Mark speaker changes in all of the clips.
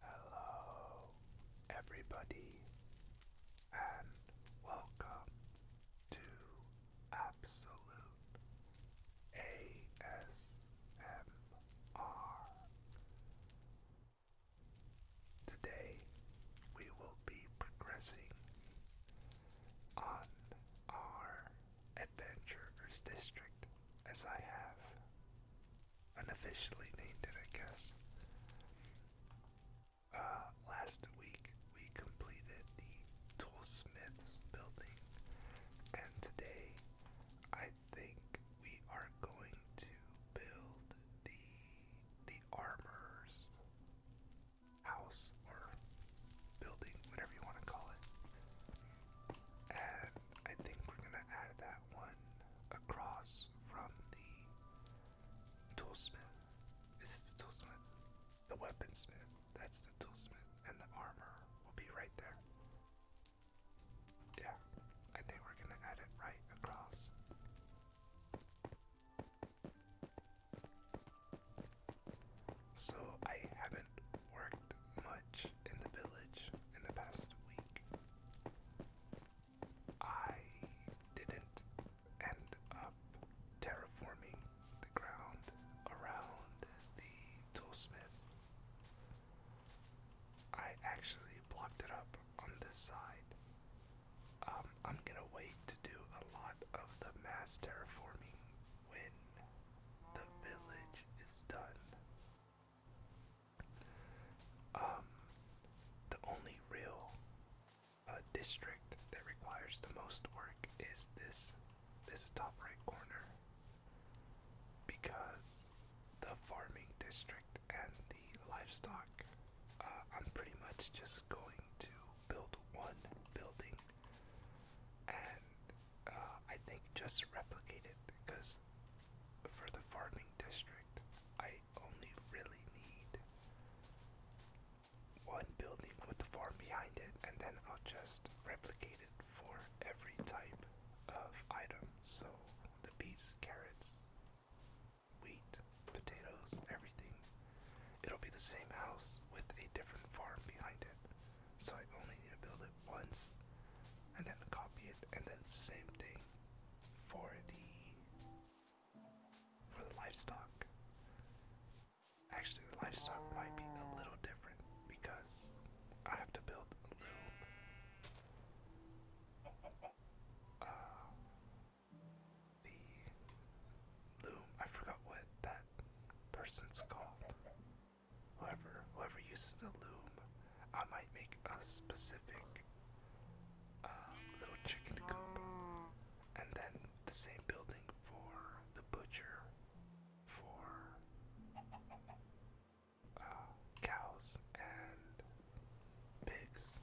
Speaker 1: Hello, everybody, and welcome to Absolute ASMR. Today, we will be progressing on our Adventurer's District as I have. Unofficially named it, I guess. Uh, last week we completed the Toolsmith's building, and today I think we are going to build the the armorer's house or building, whatever you want to call it. And I think we're going to add that one across from the toolsmith. Is the toolsmith? The weaponsmith. That's the toolsmith. And the armor will be right there. Yeah, I think we're going to add it right across. So I haven't worked much in the village in the past week. I didn't end up terraforming the ground around the toolsmith. I actually blocked it up on this side. Um, I'm gonna wait to do a lot of the mass terraforming when the village is done. Um, the only real uh, district that requires the most work is this this top right corner because the farming district and the livestock uh, I'm pretty much just going to build one building and uh, I think just replicate it because for the farming district, I only really need one building with the farm behind it, and then I'll just replicate it for every type of item. So the beets, carrots, wheat, potatoes, everything. It'll be the same house with a different farm behind it so I only need to build it once and then copy it and then same thing for the for the livestock. Actually the livestock might be a little different because I have to build a loom. Uh, the loom, I forgot what that person's called. However, whoever uses the loom, I might make a specific um, little chicken coop, and then the same building for the butcher, for uh, cows and pigs.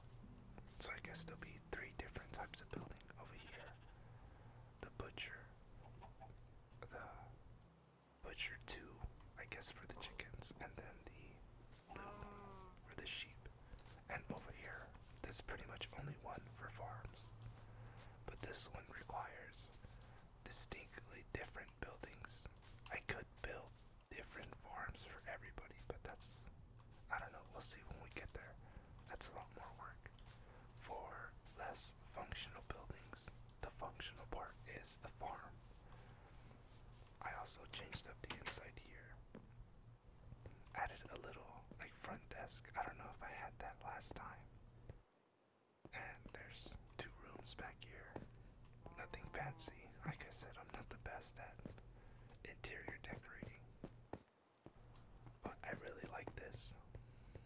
Speaker 1: So I guess there'll be three different types of building over here: the butcher, the butcher two, I guess, for the chickens, and then the loom for the sheep. And over here, there's pretty much only one for farms. But this one requires distinctly different buildings. I could build different farms for everybody,
Speaker 2: but that's. I don't know, we'll see when we get there. That's a lot more work for less functional buildings. The functional part is the farm. I also changed up
Speaker 1: the inside here. Added a little like front desk. I don't know if I had that last time. And there's two rooms back here. Nothing fancy. Like I said, I'm not the best at interior decorating. But I really like this.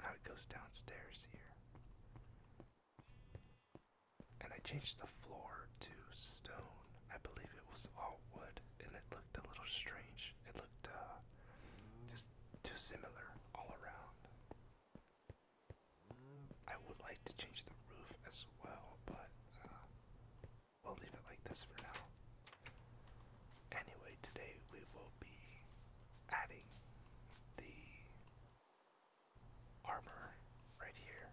Speaker 1: How it goes downstairs here. And I changed the floor to stone. I believe it was all wood, and it looked a little strange. It looked uh, just too similar all around. I would like to change the roof as well, but uh, we'll leave it like this for now. Anyway, today we will be adding the armor right here.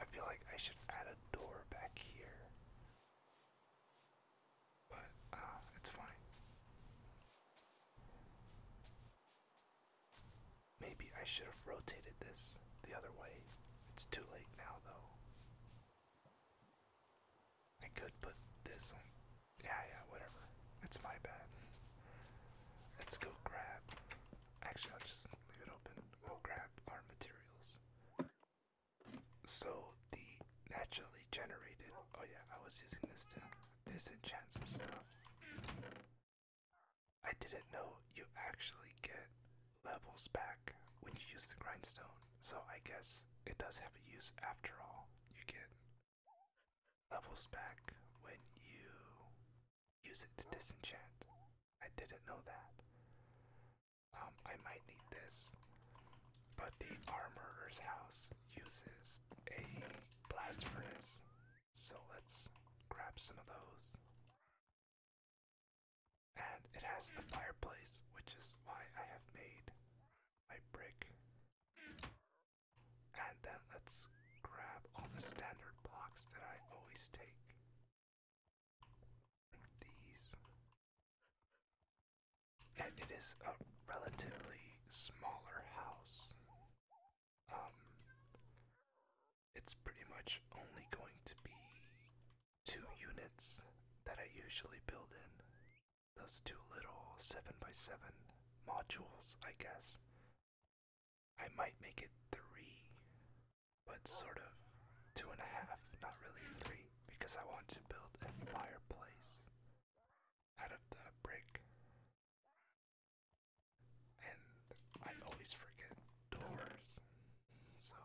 Speaker 1: I feel like I should add a door back here. But uh, it's fine. Maybe I should have rotated this the other way. It's too late now though. I could put this on. Yeah, yeah, whatever. It's my bad. Let's go grab. Actually, I'll just leave it open. We'll grab our materials. So, the naturally generated. Oh, yeah, I was using this to disenchant some stuff. I didn't know you actually get levels back when you use the grindstone, so I guess it does have a use after all. You get levels back when you use it to disenchant. I didn't know that. Um, I might need this, but the armorer's house uses a blast furnace, so let's grab some of those. And it has a fireplace, which is why I have made my brick and then let's grab all the standard blocks that I always take. these. And it is a relatively smaller house. Um, it's pretty much only going to be two units that I usually build in those two little 7x7 modules, I guess. I might make it three, but sort of two and a half, not really three, because I want to build a fireplace out of the brick.
Speaker 3: And I always forget doors, so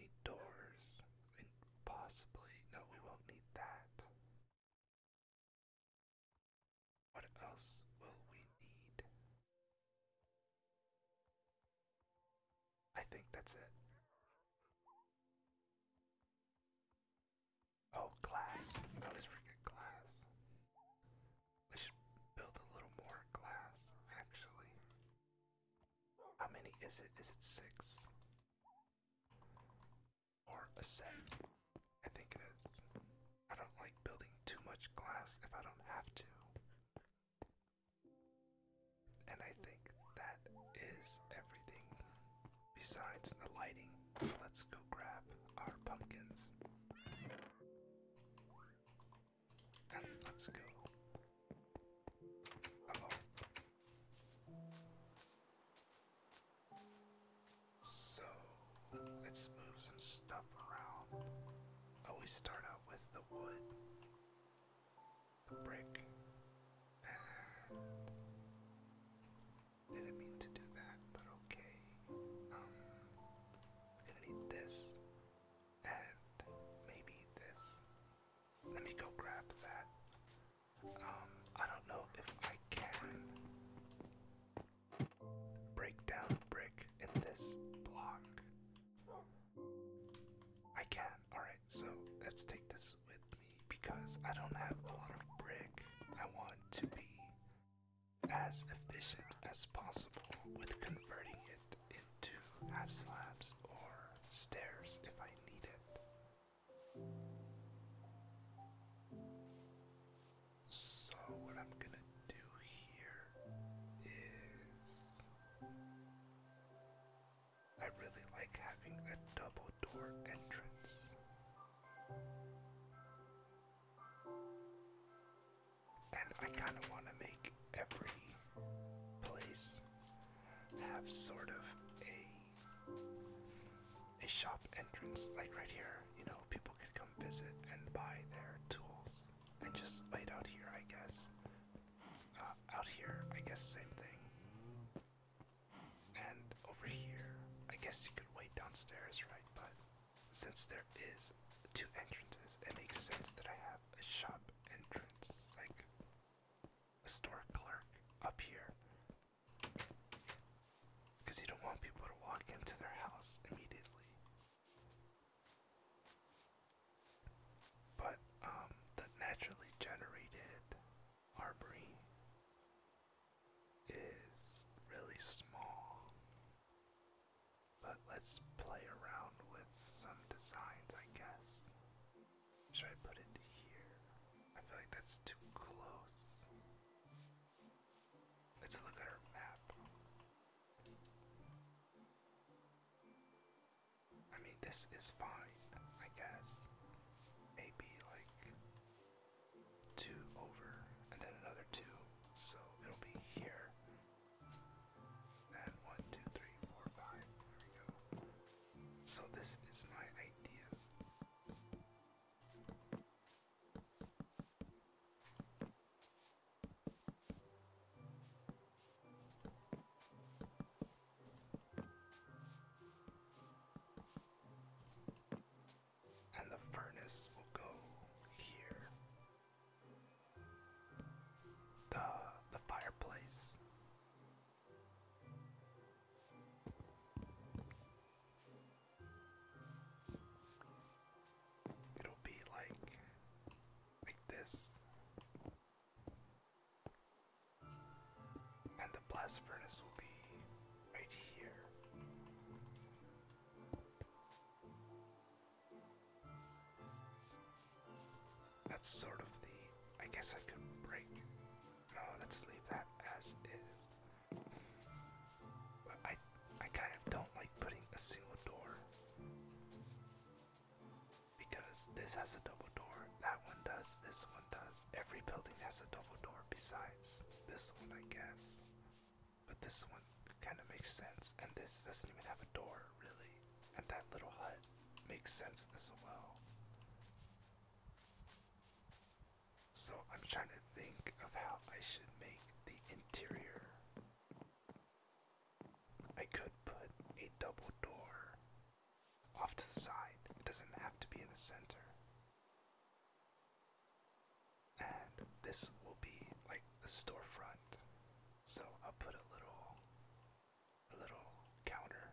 Speaker 3: need doors, possibly, no, we won't need that. What else will we need? I think that's it. Oh, glass. I always forget glass. We should build a little more glass, actually.
Speaker 1: How many is it? Is it six? or a set. I think it is. I don't like building too much glass if I don't have to. And I think that is everything besides the lighting. So let's go grab our pumpkins. And let's go. Uh so let's move some stuff around. But we start out with the wood, the brick. Didn't mean to do that, but okay. we're um, gonna need this and maybe this. Let me go grab that. Um, I don't know if I can break down brick in this block. I can. Alright, so let's take this with me because I don't have a lot of brick. I want to be as efficient as possible with converting it into half slabs or stairs if I need it. So, what I'm going to do here is. I really like having a double door entrance. And I kind of want to make every place have sort of a a shop entrance, like right here. You know, people could come visit and buy their tools, and just wait out here, I guess. Uh, out here, I guess same thing. And over here, I guess you could wait
Speaker 2: downstairs, right? But since there is two entrances, it makes sense that I have a shop entrance, like a store clerk up
Speaker 1: here, because you don't want people to walk into their house immediately. But um, the naturally generated armory is really small. But let's play around with some designs, I guess. Should I put it here? I feel like that's too close. Let's look at our map. I mean, this is fine, I guess. Maybe like two over and then another two. So it'll be here. And one, two, three, four, five. There we go. So this is my idea.
Speaker 2: And the furnace will go here. The the fireplace
Speaker 1: It'll be like like this. And the blast furnace will be right here. That's sort of the I guess I could break no, let's leave that as is. I, I kind of don't like putting a single door because this has a double door, that one does, this one does. Every building has a double door besides this one, I guess. But this one kind of makes sense, and this doesn't even have a door, really. And that little hut makes sense as well. So I'm trying to think of how I should make the interior. I could put a double door off to the side, it doesn't have to be in the center. And this will be like the storefront. So I'll put a little a little counter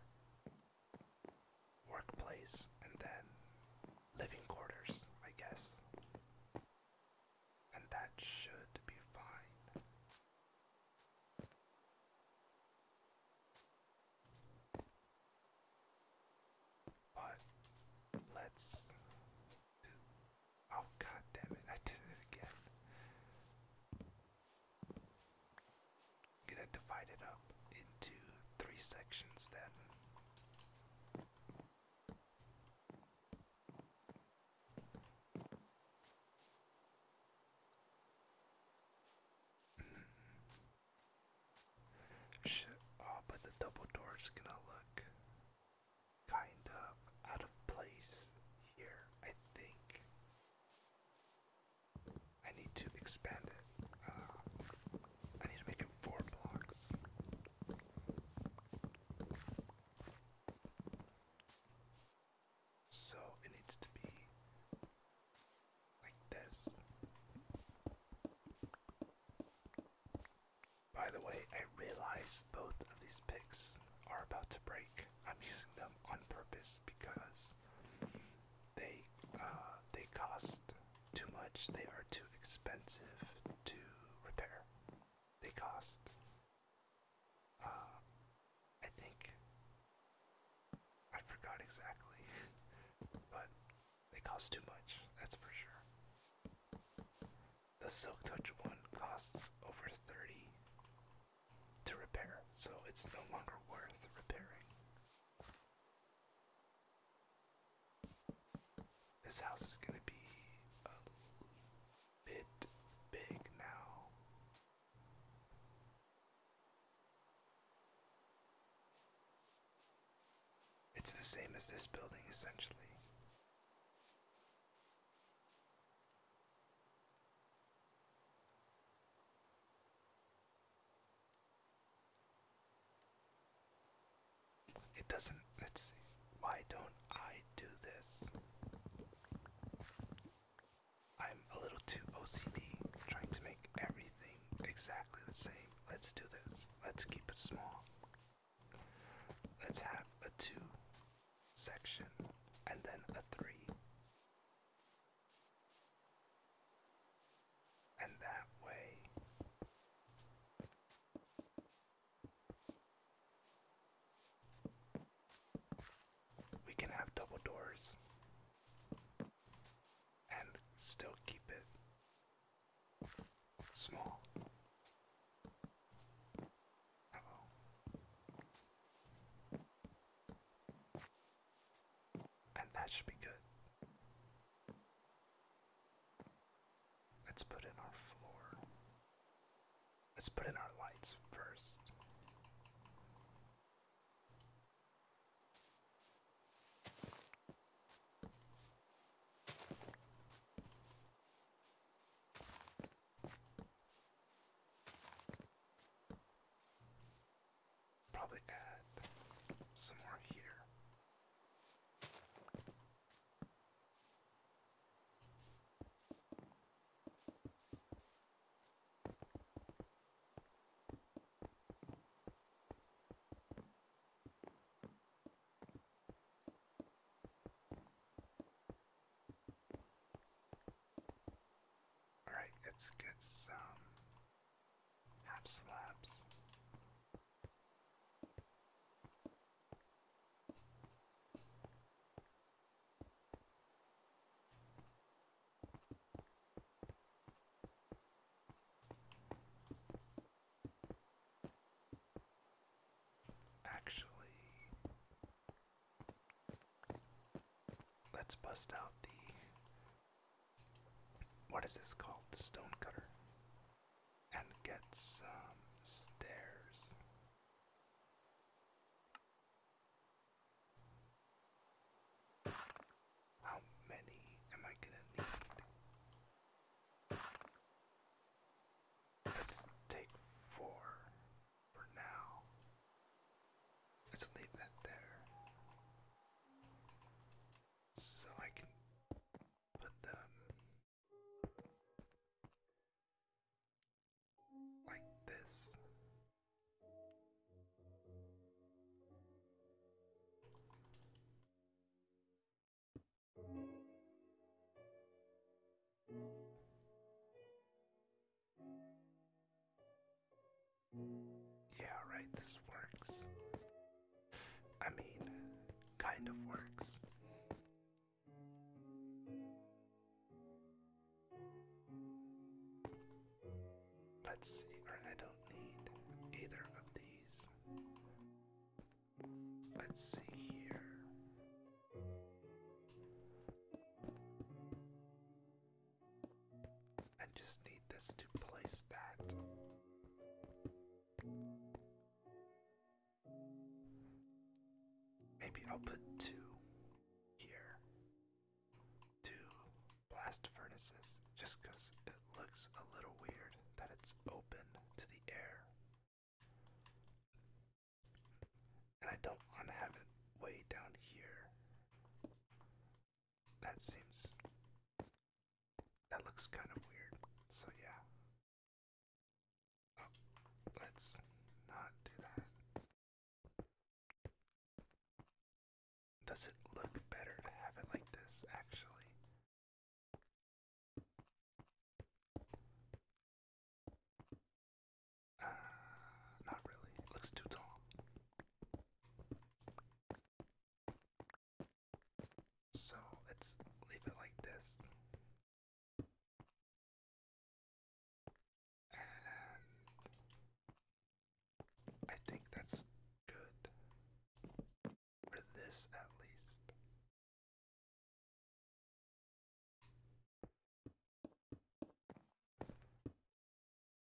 Speaker 1: workplace and then living quarters, I guess. And that should be fine. But let's oh god damn it, I did it again gonna divide it up into three sections then. Hmm. oh, but the double door's gonna look kind of out of place here, I think. I need to expand it. Uh, I need to make it four blocks. So it needs to be like this. By the
Speaker 2: way, I realize both of these picks are about to break. I'm using them on
Speaker 1: purpose because they uh, they cost too much, they are too expensive to repair. They cost, uh, I think, I forgot exactly, but they cost too much, that's for sure. The Silk Touch one costs over 30 to repair, so it's no longer worth repairing. This house is gonna be a bit big now. It's the same as this building, essentially. It doesn't, let's see, why don't I do this? I'm a little too OCD trying to make everything exactly the same. Let's do this. Let's keep it small. Let's have a 2
Speaker 2: section and then a 3 and that way.
Speaker 1: We can have double doors and still keep it small. And that should be good. Let's put in our floor. Let's put in our lights first. Probably add some more here. All right, let's get have slabs. Actually, let's bust out the what is this called? The stonecutter. And get some stairs. How many am I gonna need? Let's take four for now. Let's leave that there so I can put them
Speaker 3: like this.
Speaker 1: Yeah, right, this works. I mean, kind of works. Let's see, or I don't need either of these. Let's see here. I just need this to place that. Maybe I'll put two here. Two blast furnaces, just it looks a little weird that it's open to the air. And I don't want to have it way down here. That seems that looks
Speaker 3: kind of weird. So yeah. Oh, let's not do that. Does it look better to have it like this, actually? Uh, not really. looks too tall. So let's leave it like this. I think that's good for this at least.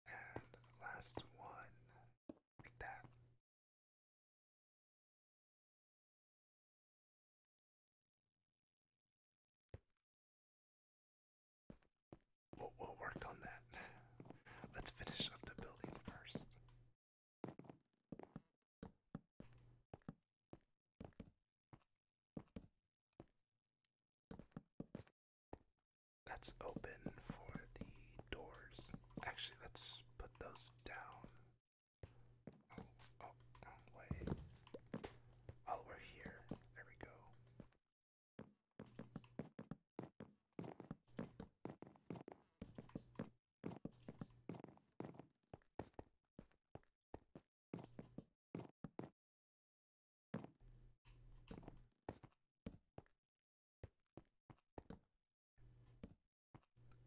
Speaker 3: And last one, like that. We'll, work on that. Let's finish up the building first. Let's open
Speaker 1: for the doors. Actually, let's put those down. Oh, oh, wrong oh, way. Oh, we're here. There we go.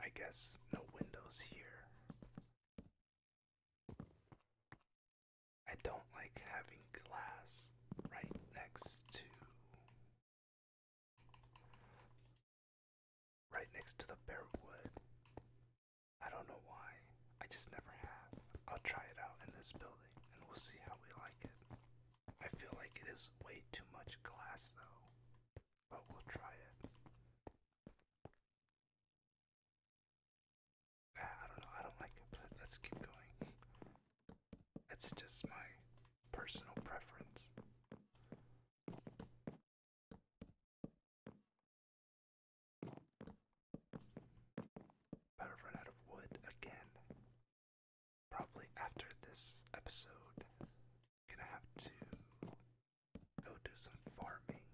Speaker 3: I guess no windows here. I don't like having glass right next to right next to the bare wood. I don't know why. I just never have. I'll try it out in this building and we'll see how we like it. I feel like it is way too much glass though,
Speaker 1: but we'll try it. Ah, I don't know, I don't like it, let's keep going. It's
Speaker 3: just my personal preference. Better run out of wood again probably after this episode, I'm gonna have to go do some farming.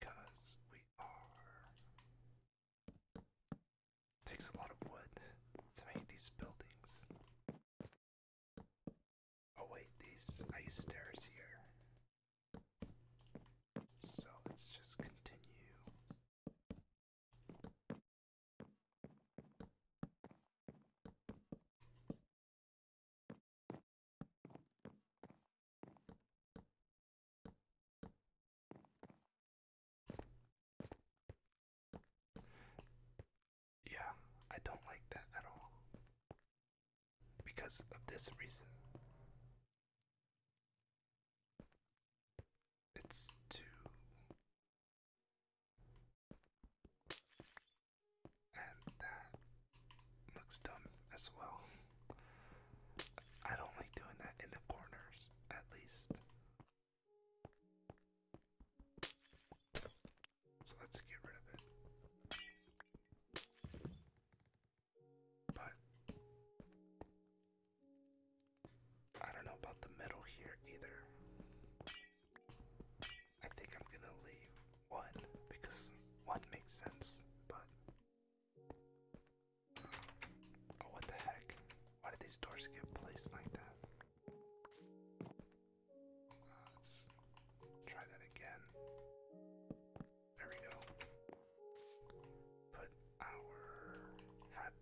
Speaker 3: Because we are. Takes a lot of wood
Speaker 1: to make these buildings. Oh, wait, these. I use stairs here. So let's just continue
Speaker 3: yeah, I don't like that
Speaker 1: at all. Because of this reason.
Speaker 3: It's two. And that looks dumb as well.
Speaker 1: I don't like doing that in the corners, at least. So let's get rid of it. But I don't know about the middle here either. I think I'm gonna leave one because one makes sense, but oh, what the heck? Why did these doors get placed like that? let's try that again. There we go. Put our half,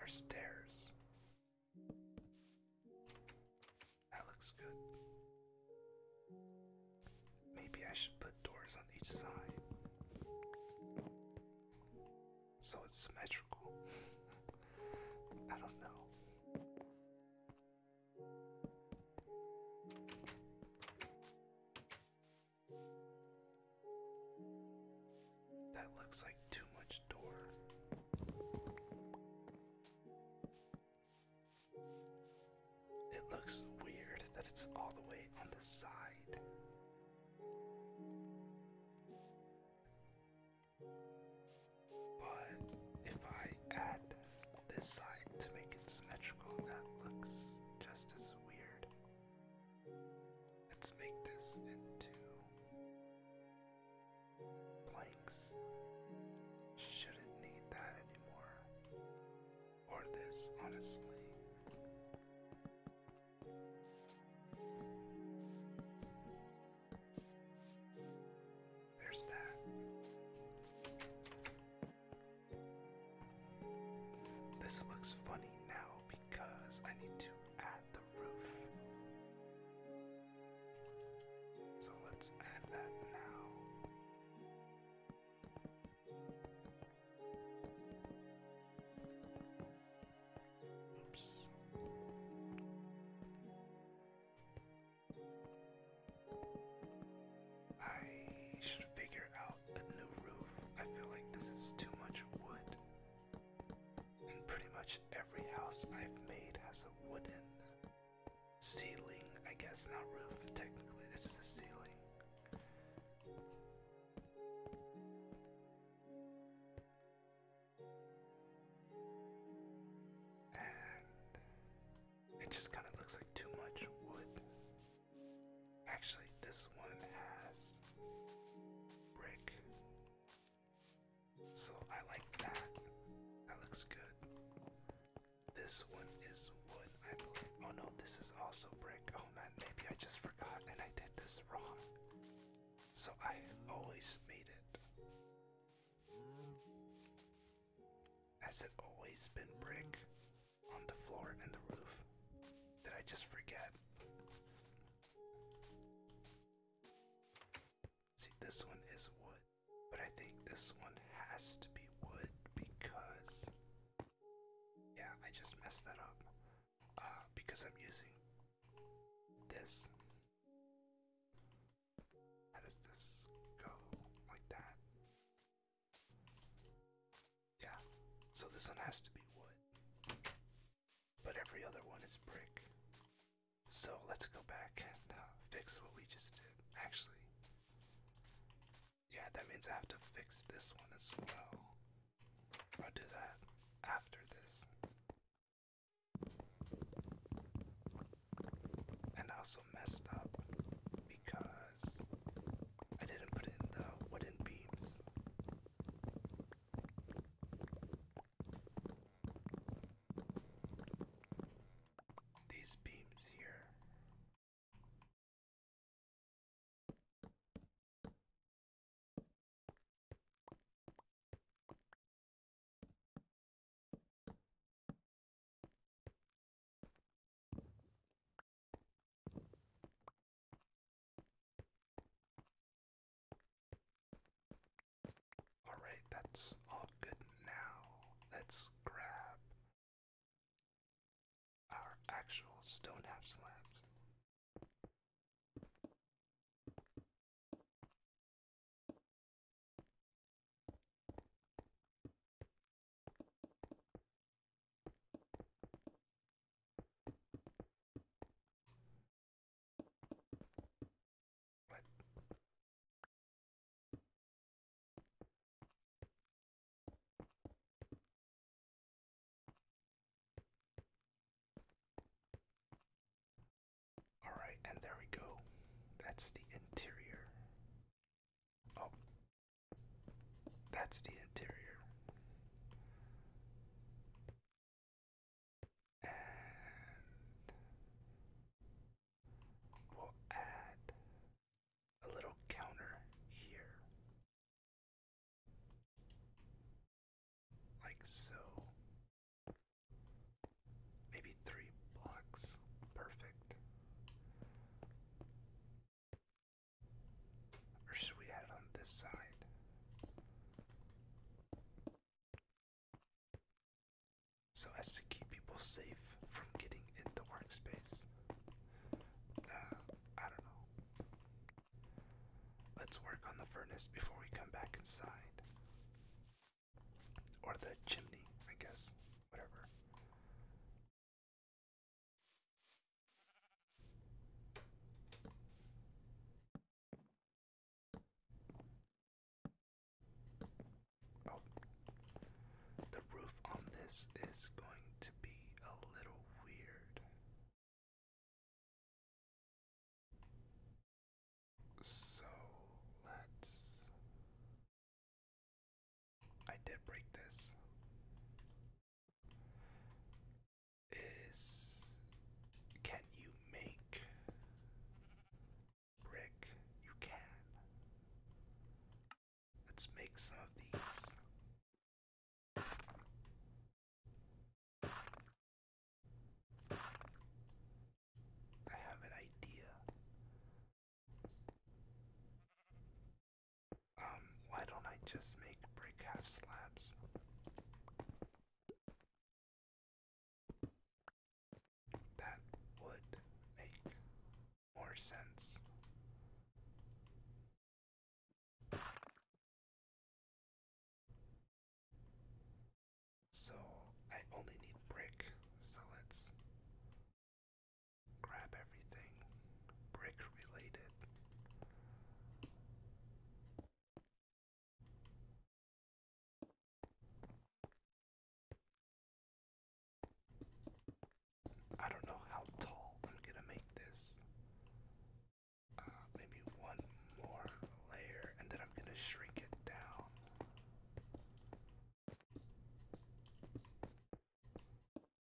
Speaker 1: our stairs. That looks good. Maybe I should put doors on each side. So it's symmetrical. I don't know. That looks like too much door. It looks weird that it's all the way on the side. But if I add this side to make it symmetrical, that looks just as weird. Let's make this into blanks. Shouldn't need that anymore. Or this, honestly. There's that. This looks funny now because I need to add the roof. So let's add that now. Oops. I should figure out a new roof. I feel like this is too much wood. And pretty much every house I've made has a wooden ceiling. I guess not roof, technically, this is a ceiling. And it just kind of looks like too much wood. Actually, this one has brick. So I like that.
Speaker 2: That looks good. This one is wood, I believe. Oh no, this is also
Speaker 1: brick. Oh man, maybe I just forgot and I did this wrong. So I always made it. Has it always been brick? on the floor and the roof. Did I just forget? See, this one is wood, but I think this one has to be wood because. Yeah, I just messed that up. Uh, because I'm using this. How does this go? Like that. Yeah, so this one has to be wood. But every other one is brick. So let's go back and uh, fix what we just did. Actually, yeah, that means I have to fix this one as well. I'll do that after this. And I also messed up because I didn't put in
Speaker 3: the wooden beams. These beams here. Alright, that's all good now. Let's grab our actual stone half slabs. All right, and there we go. That's the interior. Oh, that's the interior. And we'll add a little counter here. Like so. Maybe three blocks. Perfect.
Speaker 1: Or should we add it on this side? So as to keep people safe from getting into workspace. Uh, I don't know. Let's work on the furnace before we come back inside. Or the chimney, I
Speaker 3: guess. Whatever. Oh. the roof on this is going to be a little weird. So let's. I did break this is can you
Speaker 1: make brick? You can.
Speaker 3: Let's make some of these.
Speaker 1: I have an idea. Um, why don't I just
Speaker 3: make brick half slabs? That would make more sense. So I only need brick, so let's grab everything brick related. I don't know how tall I'm
Speaker 1: gonna make this. Uh, maybe one more layer, and then I'm gonna shrink it down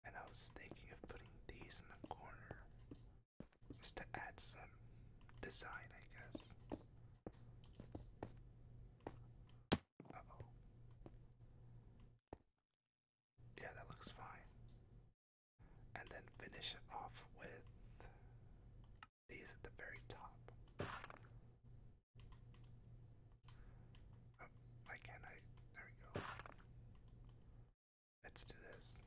Speaker 1: and I was thinking of putting these in the corner just to add some design, I guess. Yeah, that looks fine. And then finish it off with these at the very top. Oh, why can't I? There we go. Let's do this.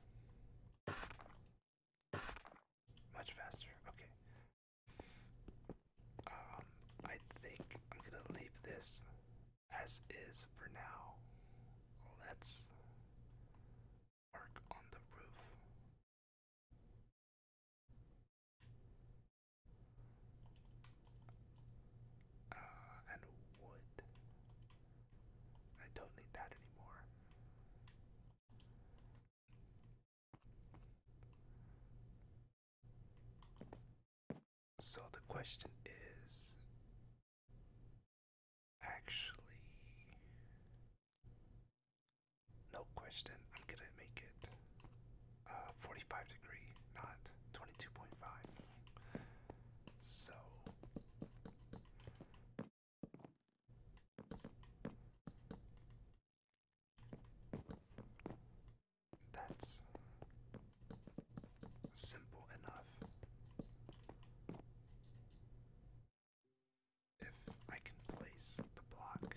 Speaker 1: Much faster. Okay. Um, I think I'm gonna leave this
Speaker 3: as is for now. Let's work on the roof.
Speaker 1: Uh, and wood. I don't need that anymore.
Speaker 3: So the question is actually
Speaker 1: no question I'm gonna make it uh 45 degree not 22.5 so. That's simple enough. If I can place the block,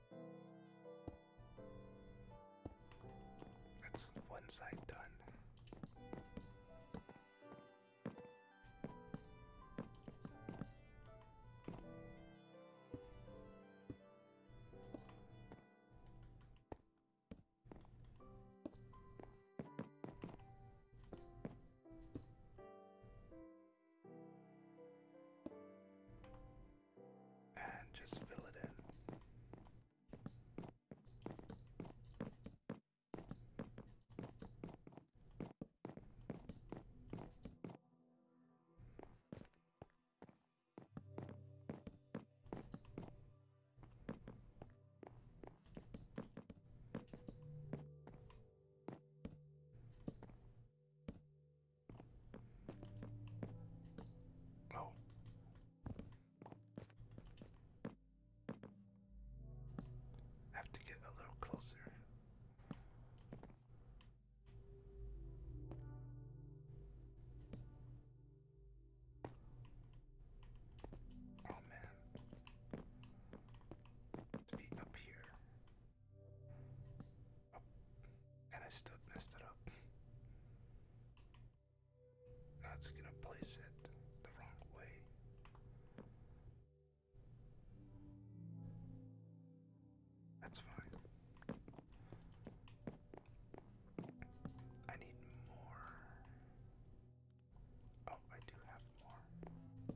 Speaker 1: That's one side done and just fill it in. Oh, I have to get a little closer. Oh man, to be up here, up. Oh. and I still messed it up. That's gonna place it the wrong way. That's fine. I need more. Oh, I do have more.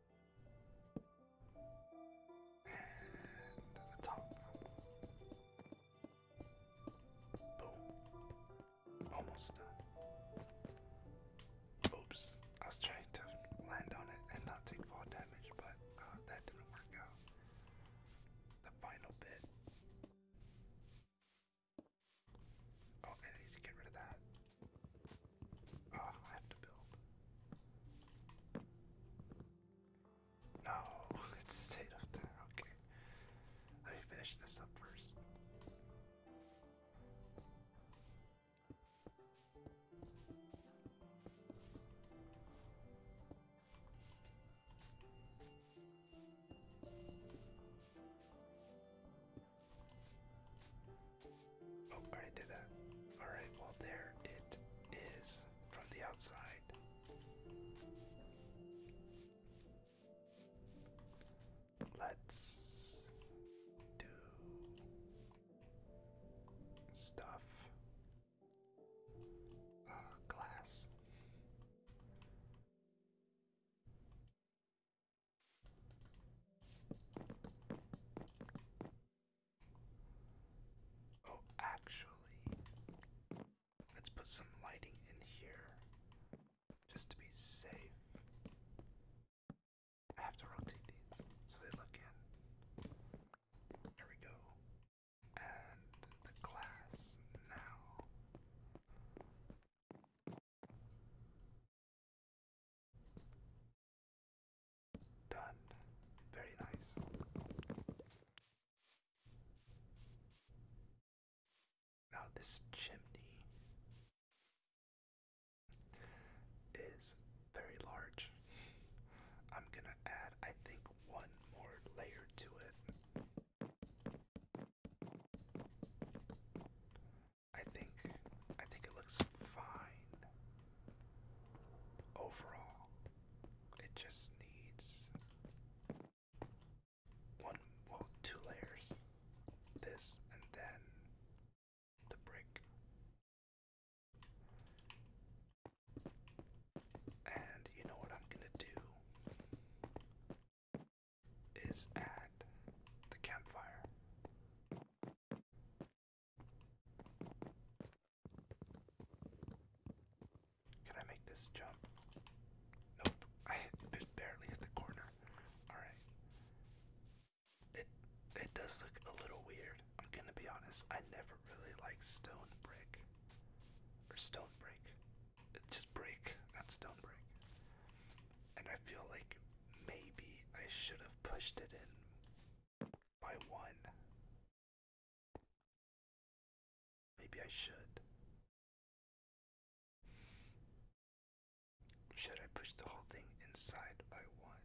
Speaker 1: And the top. Boom. Almost done. Oops. I was trying to land on it
Speaker 2: and not take fall damage, but uh, that didn't work out. The final bit.
Speaker 1: Oh, I need to get rid of that. Oh, I have to build. No, it's stayed up there. Okay. Let me finish this up first. Oh, already did that. Alright, well, there it is from the outside. Let's do stuff.
Speaker 3: Uh, glass. Oh, actually, let's put some
Speaker 1: lighting in here just to be safe. I have to rotate these so they look in. There we go.
Speaker 3: And the glass now. Done. Very nice.
Speaker 1: Now, this chimney is very large. I'm gonna add, I think, one more layer to it. I think I think it looks fine overall. It just needs one, well, two layers. This and then
Speaker 3: the brick. And you know what I'm gonna do
Speaker 1: is add the campfire. Can I make this jump? Nope. I hit, barely hit the corner. Alright. It it does look a little weird. I'm gonna be honest. I never really like stone brick. Or stone break. It's just break, not stone break. And I feel like maybe I
Speaker 3: should have pushed it in by one. Maybe I should. Should I push the whole thing inside by one?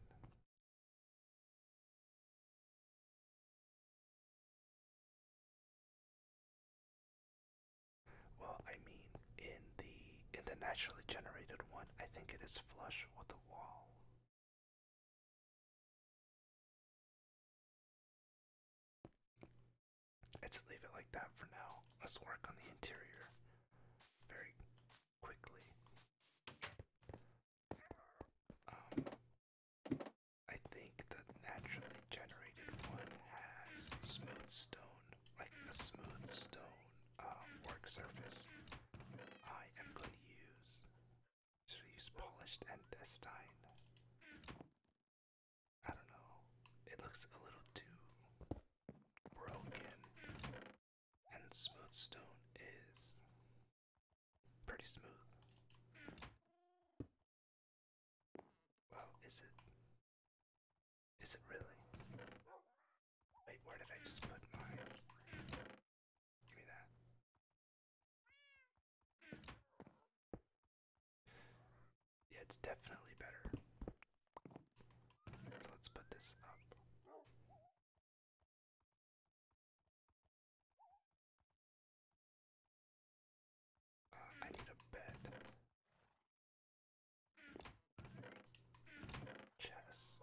Speaker 3: Well, I mean, in the in the naturally generated one, I think it is flush with the wall. Let's leave it like that for now. Let's work on the interior very
Speaker 1: quickly. Um, I think the naturally generated one has smooth stone, like a smooth stone uh, work surface. I am going to use should we use polished andestine?
Speaker 3: I don't know. It looks a little too broken. And smooth stone is pretty smooth. Well, is it? Is it really? Wait, where did I just put my yeah, it's definitely better. So let's put this up. Uh, I need a bed. Chest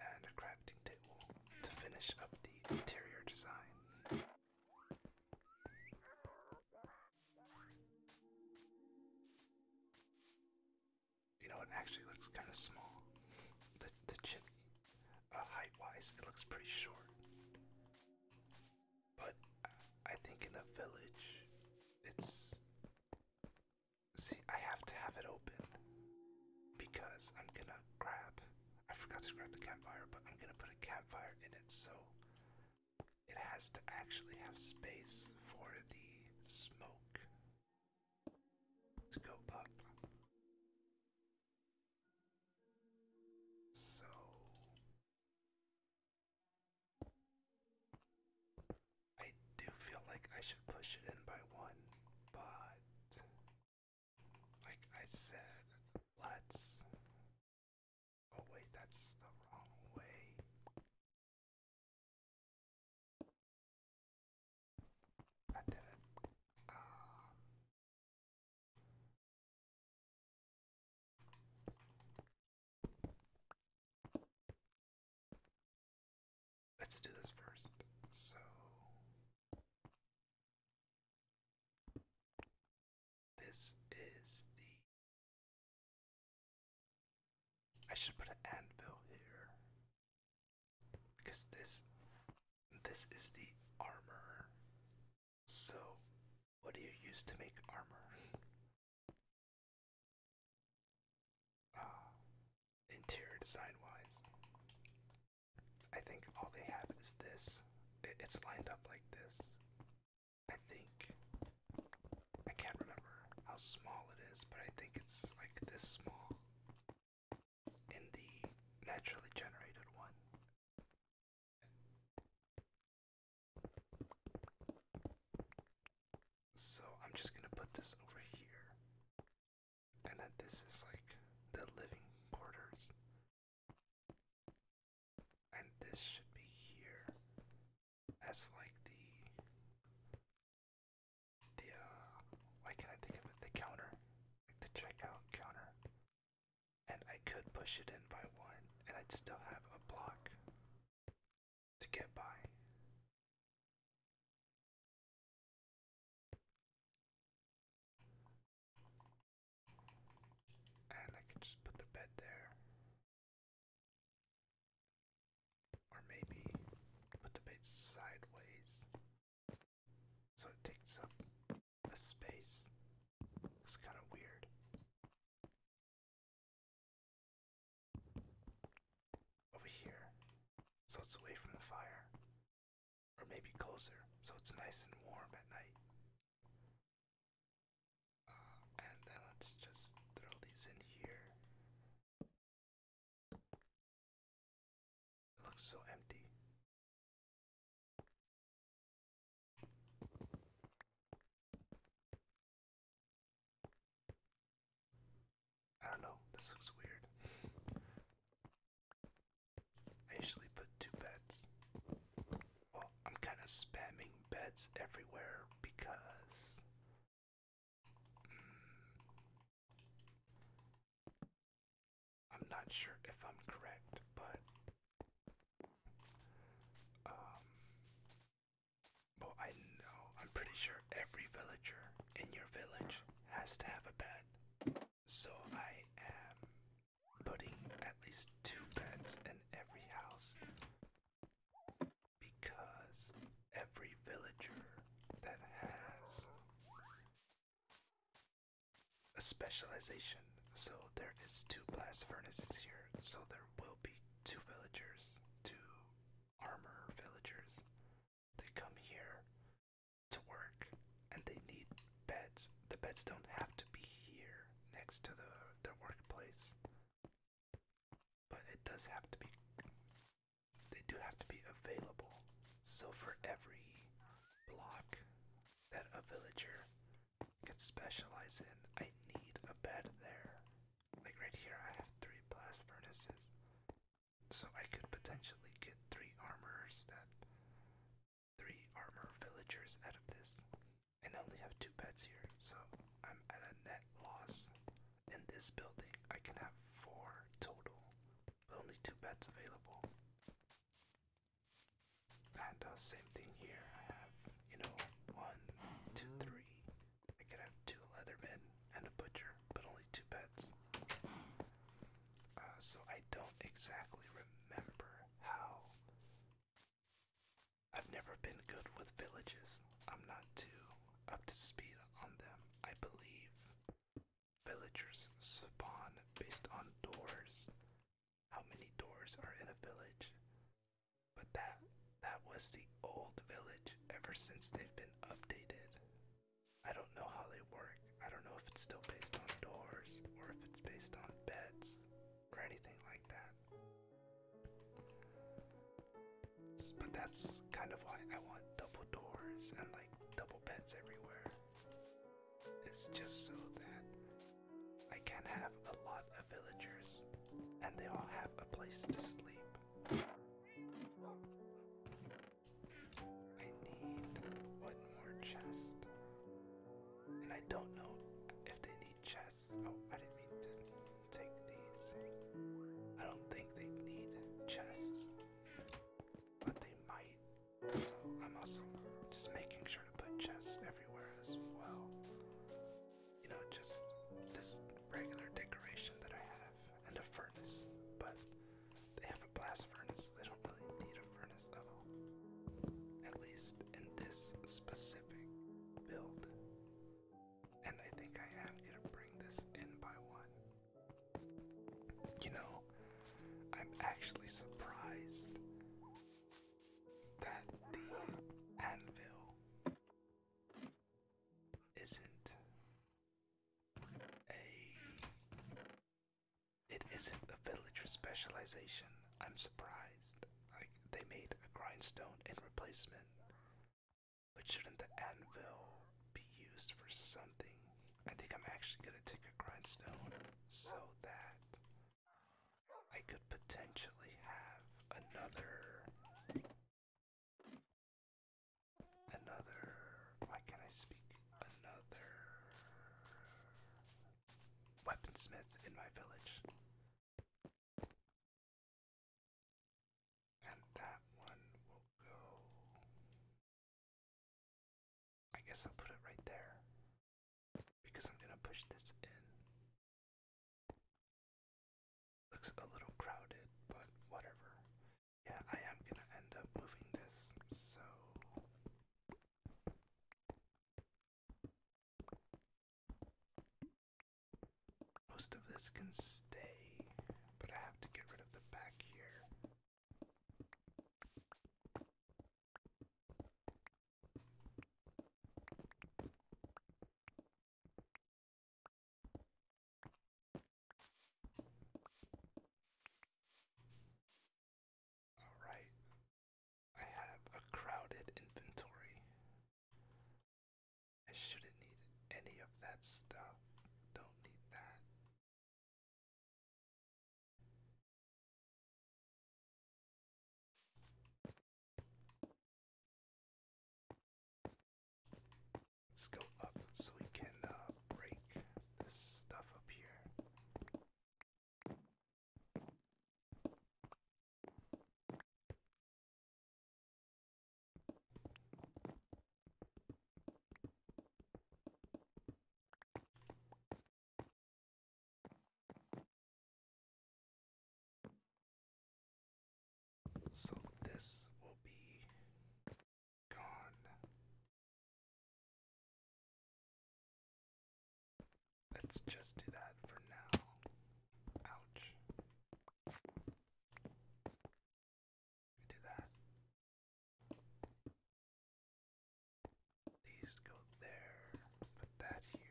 Speaker 3: and a crafting table to finish up the interior design.
Speaker 1: You know, it actually looks kind of small. The the chimney, uh, height wise, it looks pretty short. But uh, I think in a village, it's See, I have to have it open because I'm gonna grab. I forgot to grab the campfire, but I'm gonna put a campfire in it so it has to actually have space for the smoke
Speaker 3: to go up. So I do feel like I should push it in by one, but like I said, let's. Oh, wait, that's the wrong way. I did it. Um, Let's do this first. So this is the I should put an anvil here because this this is the armor.
Speaker 1: So what do you use to make armor? interior design wise. I think all they have is this. It's lined up like this. I think. I can't remember how small it is, but I think it's like this small in the naturally generated one. So I'm just gonna put this over here. And then this is like the living quarters. And this should be here as
Speaker 2: like the the uh why can't I think of it? The counter.
Speaker 1: Like the checkout counter. And I could push it in by one and
Speaker 3: I'd still have a block to get by.
Speaker 1: And I can just put the bed there. Or maybe put the bed sideways
Speaker 3: so it takes up a space. It's kind of weird over here so it's away from the fire, or maybe closer
Speaker 1: so it's nice and warm at night. Uh, and
Speaker 3: then let's just throw these in here. looks so empty. I don't know, this looks weird.
Speaker 1: I usually put two beds. Well, I'm kind of spamming beds everywhere because. Mm, I'm not sure if I'm correct, but. Um, but I know, I'm pretty sure every villager in your village has to have a bed. So I am putting at least two beds in every house. Because every villager that has a specialization, so there is two blast furnaces here, so there will be two villagers, two armor villagers. They come here to work and they need beds. The beds don't have to be here next to the their workplace. But it does have to be they do have to be available. So for every block that a villager can specialize in, I need a bed there. Like right here, I have three blast furnaces. So I could potentially get three armors that. Three armor villagers out of this. And I only have two beds here, so I'm at a net loss. In this building, I can have four total, but only two beds available. And uh, same thing here. I have, you know, one, two, three, I could have two leathermen and a butcher, but only two pets. Uh, so I don't exactly remember how. I've never been good with villages. I'm not too up to speed on them. I believe villagers spawn based on doors. How many doors are in a village? But that that was the old village ever since they've been updated. I don't know how they work. I don't know if it's still based on doors or if it's based on beds or anything like that. But that's kind of why I want double doors and like double beds everywhere. It's just so that I can have a lot of villagers and they all have a place to sleep. I need one more chest. And I don't know if they need chests. Oh, I didn't mean to take these. I don't think they need chests. But they might. So I'm also just making sure to put chests everywhere as well you know, just this regular decoration that I have and a furnace, but they have a blast furnace, they don't really need a furnace at all. At least in this specific build. And I think I am gonna bring this in by one. You know, I'm actually surprised that the anvil isn't a it isn't a villager specialization. I'm surprised. Like they made a grindstone in replacement. But shouldn't the anvil be used for something? I think I'm actually gonna take a grindstone so that I could potentially
Speaker 3: have another Another. Why can't I speak? Another. Weaponsmith in my village. And that one will go. I guess I'll put it right there. Because I'm gonna push this in. Looks a little crowded, but whatever. Yeah, I am gonna end up moving this, so.
Speaker 2: Most of this can stay, but I have to get rid of the back here.
Speaker 3: Alright, I have a crowded inventory. I shouldn't need any of that stuff. Don't need that. Let's go up so we can uh, break this stuff up here. So this will be gone. Let's just do that for now. Ouch. Do that. These go there. Put that here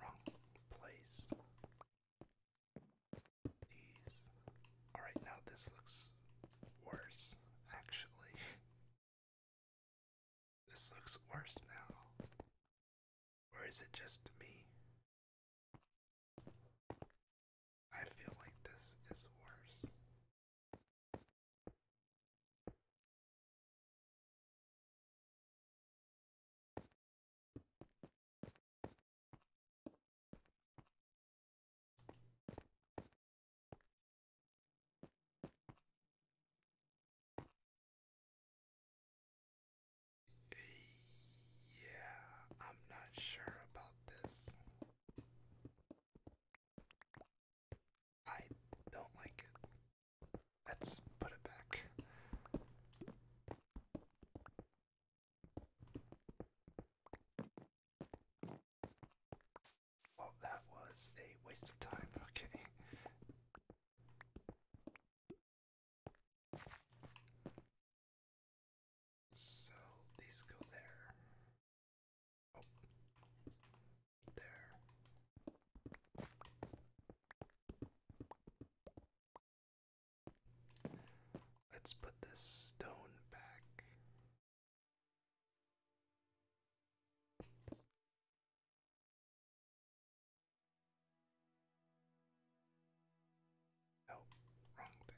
Speaker 3: wrong place.
Speaker 1: These. Alright, now this looks
Speaker 3: worse, actually. This looks worse now. Or is it just me? I feel like this is worse. Yeah, I'm not sure about this.
Speaker 1: I don't like it. Let's put it back. Well, oh, that was a waste
Speaker 3: of time. Okay. So these go there. Oh there. Let's put this stone back.
Speaker 1: Oh, wrong thing.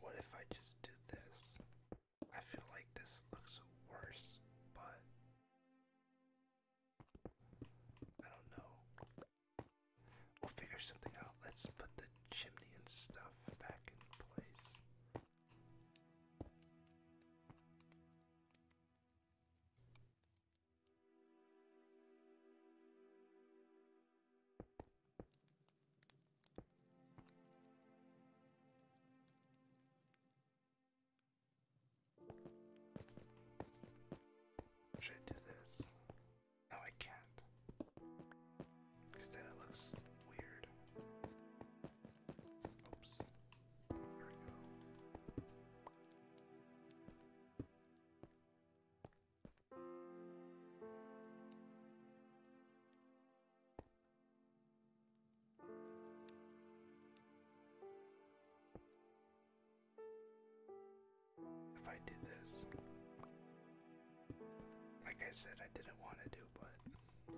Speaker 1: What if I just did this? I feel like this looks worse, but I don't know. We'll figure something out. Let's put the chimney and stuff back in place. Should I do this? No, I can't. Because it looks weird. Oops. There we go. If I did this, like I said, I didn't want to do, but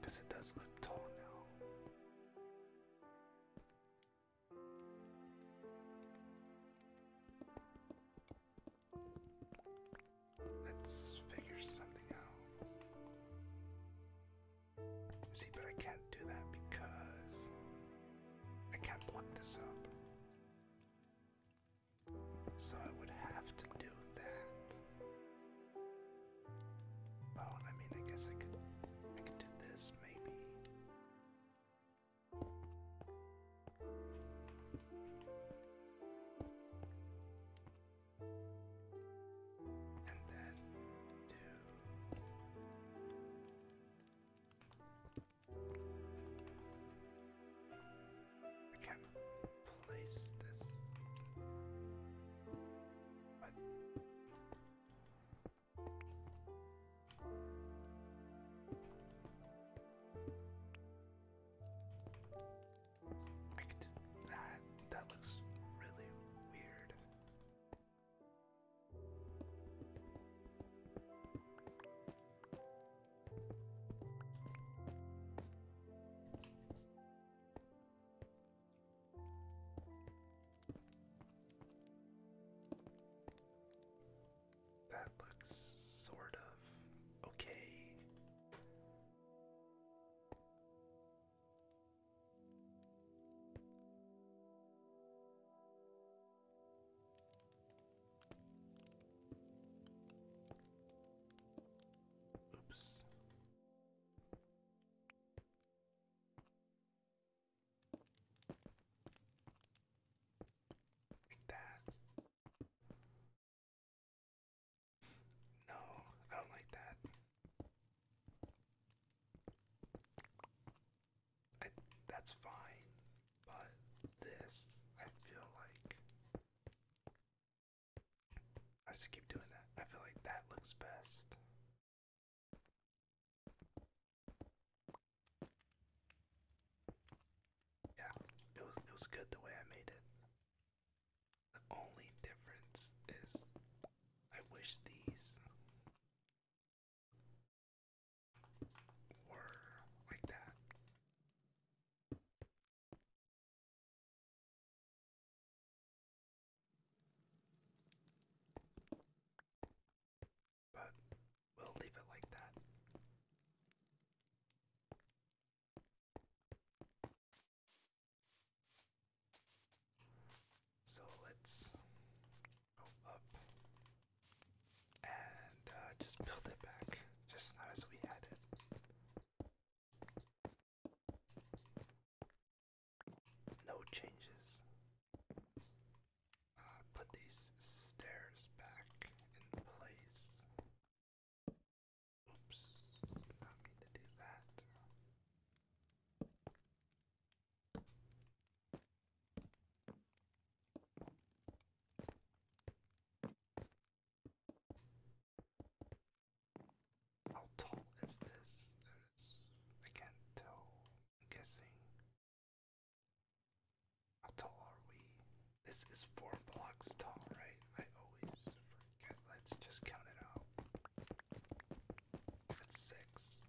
Speaker 1: because it does look tall now. Let's figure something out. See, but I can't do that because I can't block this up. So I would have to do that. Oh, I mean, I guess I could, I could do this maybe and then two. I can place this, that that looks really weird. That looks sort of okay. Oops.
Speaker 3: Like that. No, I don't like that.
Speaker 1: that's fine, but this, I feel like. I just keep doing that. I feel like that looks best. Yeah, it was it was good the way I made it. The only difference is
Speaker 3: I wish these were like that. But we'll leave it like that.
Speaker 1: So let's go up and uh, just build it back, just not as we had it. No changes. Uh, put these stairs back
Speaker 3: in place. Oops, not mean to do that. How tall is this? I can't tell. I'm guessing.
Speaker 1: How tall are we? This is four blocks tall, right? I always let's just count it out. That's six.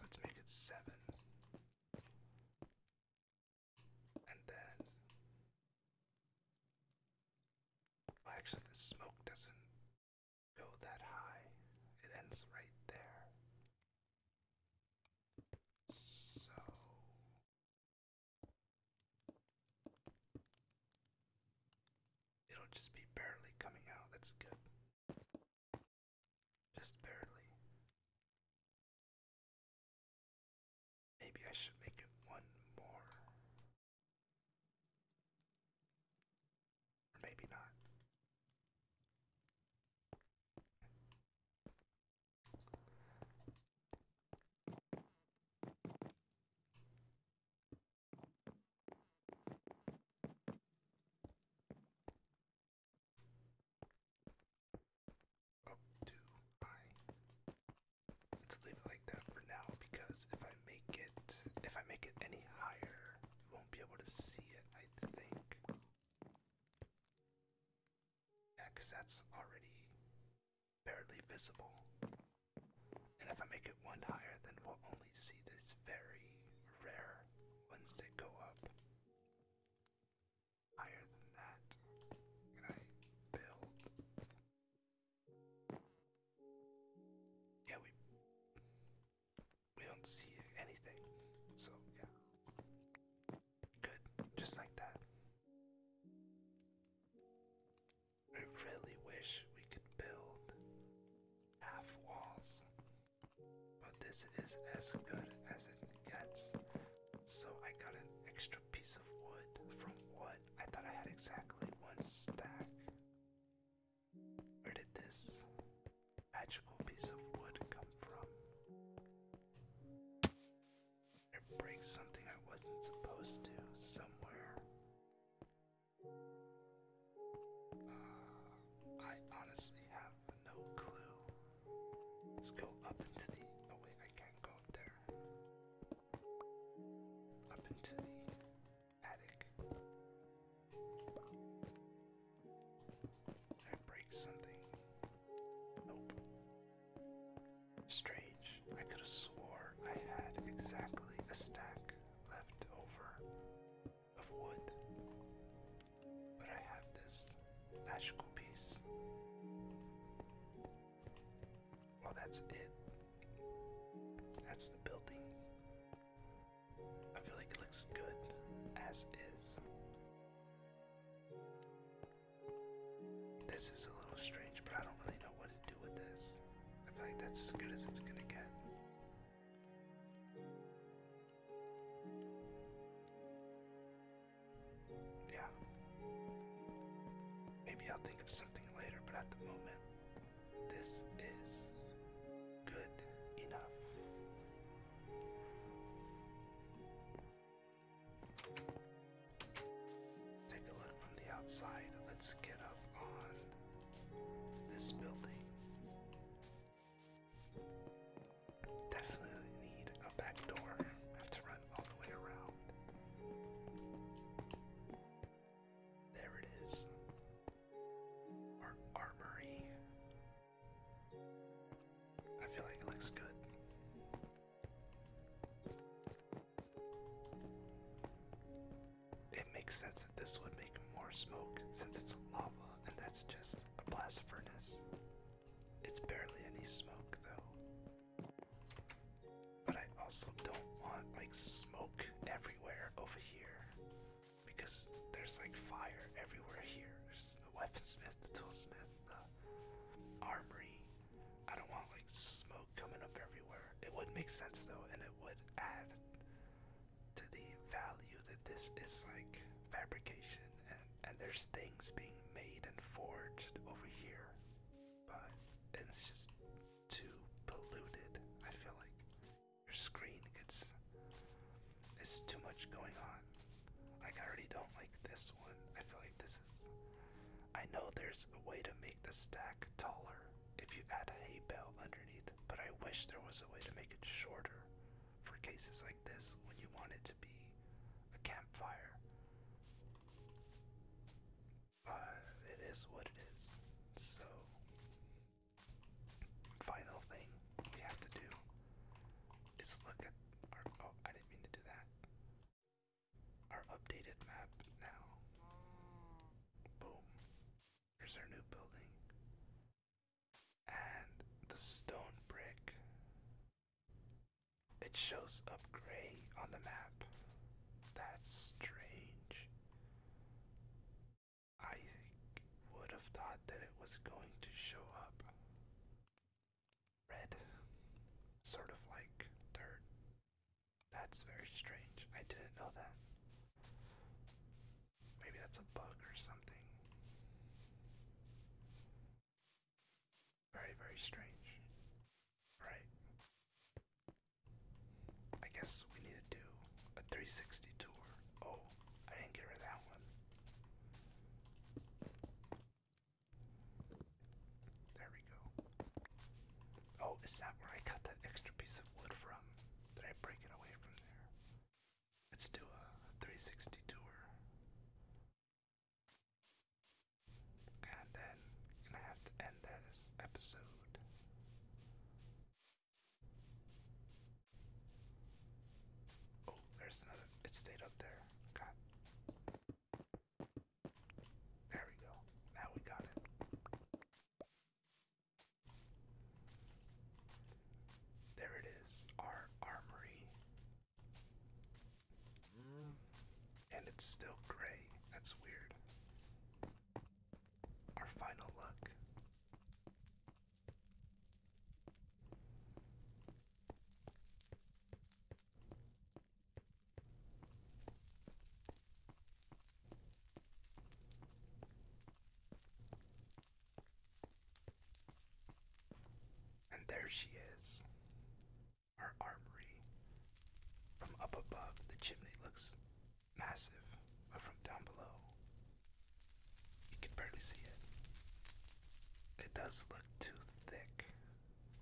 Speaker 1: Let's make it seven. And then. actually, the smoke doesn't go that high, it ends right there. So.
Speaker 3: It'll just be barely coming out. That's good. Just barely. Maybe I should make it one more. maybe not.
Speaker 1: Oh, do I? Let's leave it like that for now because if I make it, if I make it any higher, you won't be able to see it. I think. Yeah, that's already barely visible. And if I make it one higher, then we'll only see these very rare ones that go up. Higher than that, can I build? Yeah, we we don't see anything, so yeah, good, just like that. I really wish we could build half walls, but this is as good as it gets. So I got an extra piece of wood from wood. I thought I had exactly one stack. Where did this magical piece of wood come from? It breaks something I wasn't supposed to somewhere. Uh, I honestly have no clue. Let's go up into the. Oh, wait, I can't go up there. Up into the attic. I break something. Nope. Strange, I could have swore I had exactly a stack left over of wood. But I have this magical piece. Well, that's it. That's the building. I feel like it looks good as is. This is a little strange, but I don't really know what to do with this. I feel like that's as good as it's gonna get. Yeah. Maybe I'll think of something later, but at the moment, this is good enough. Take a look from the outside. Let's get up on this building. Definitely need a back door. Have to run all the way around. There it is. Our armory. I feel like it looks good. It makes sense that this would make more smoke since it's lava and that's just a blast furnace. It's barely any smoke though. But I also don't want like smoke everywhere over here because there's like fire everywhere here. There's the weaponsmith, the toolsmith, the armory, I don't want like smoke coming up everywhere. It would make sense though, and it would add to the value that this is like fabrication and, there's things being made and forged over here. But it's just too polluted. I feel like your screen gets it's too much going on. Like I already don't like this one. I feel like this is I know there's a way to make the stack taller if you add a hay bale underneath, but I wish there was a way to make it shorter for cases like this when you want it to be a campfire. Uh, it is what it is. So, final thing we have to do is look at our. Oh, I didn't mean to do that our updated map now. Boom. Here's our new building. And the stone brick. It shows up gray on the map. That's strange. I would have thought that it was going to show up red, sort of like dirt that's very strange. I didn't know that. Maybe that's a bug or something. Very, very strange. Alright. I guess we need to do a 360 tour. Oh, I didn't get rid that one. There we go. Oh, is that where I cut that extra piece of wood from? Did I break it away from there? Let's do a 360 tour. And then gonna have to end this episode. Oh, there's another. It stayed up there. God.
Speaker 2: There we go. Now we got it.
Speaker 1: There it is, our armory. And it's still gray. That's weird. Our final look.
Speaker 2: And there she is. Our armory from up above, the chimney looks massive, but from down below, you can barely
Speaker 1: see it. It does look too thick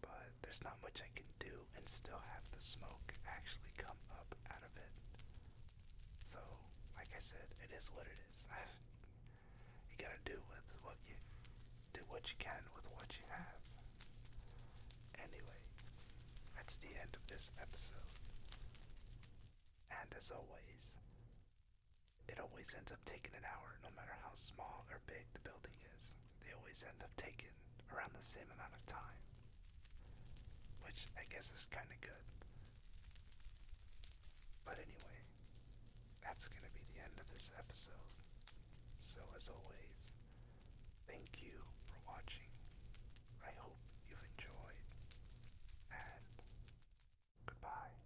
Speaker 1: but there's not much I can do and still have the smoke actually come up out of it. So, like I said, it is what it is. you gotta do with what you do what you can with what you have. Anyway, that's the end of this episode. And as always, it always ends up taking an hour, no matter how small or big the building is they always end up taking around the same amount of time. Which I guess is kind of good. But anyway, that's going to be the end of this episode. So, as always, thank you for watching. I hope you've enjoyed. And goodbye.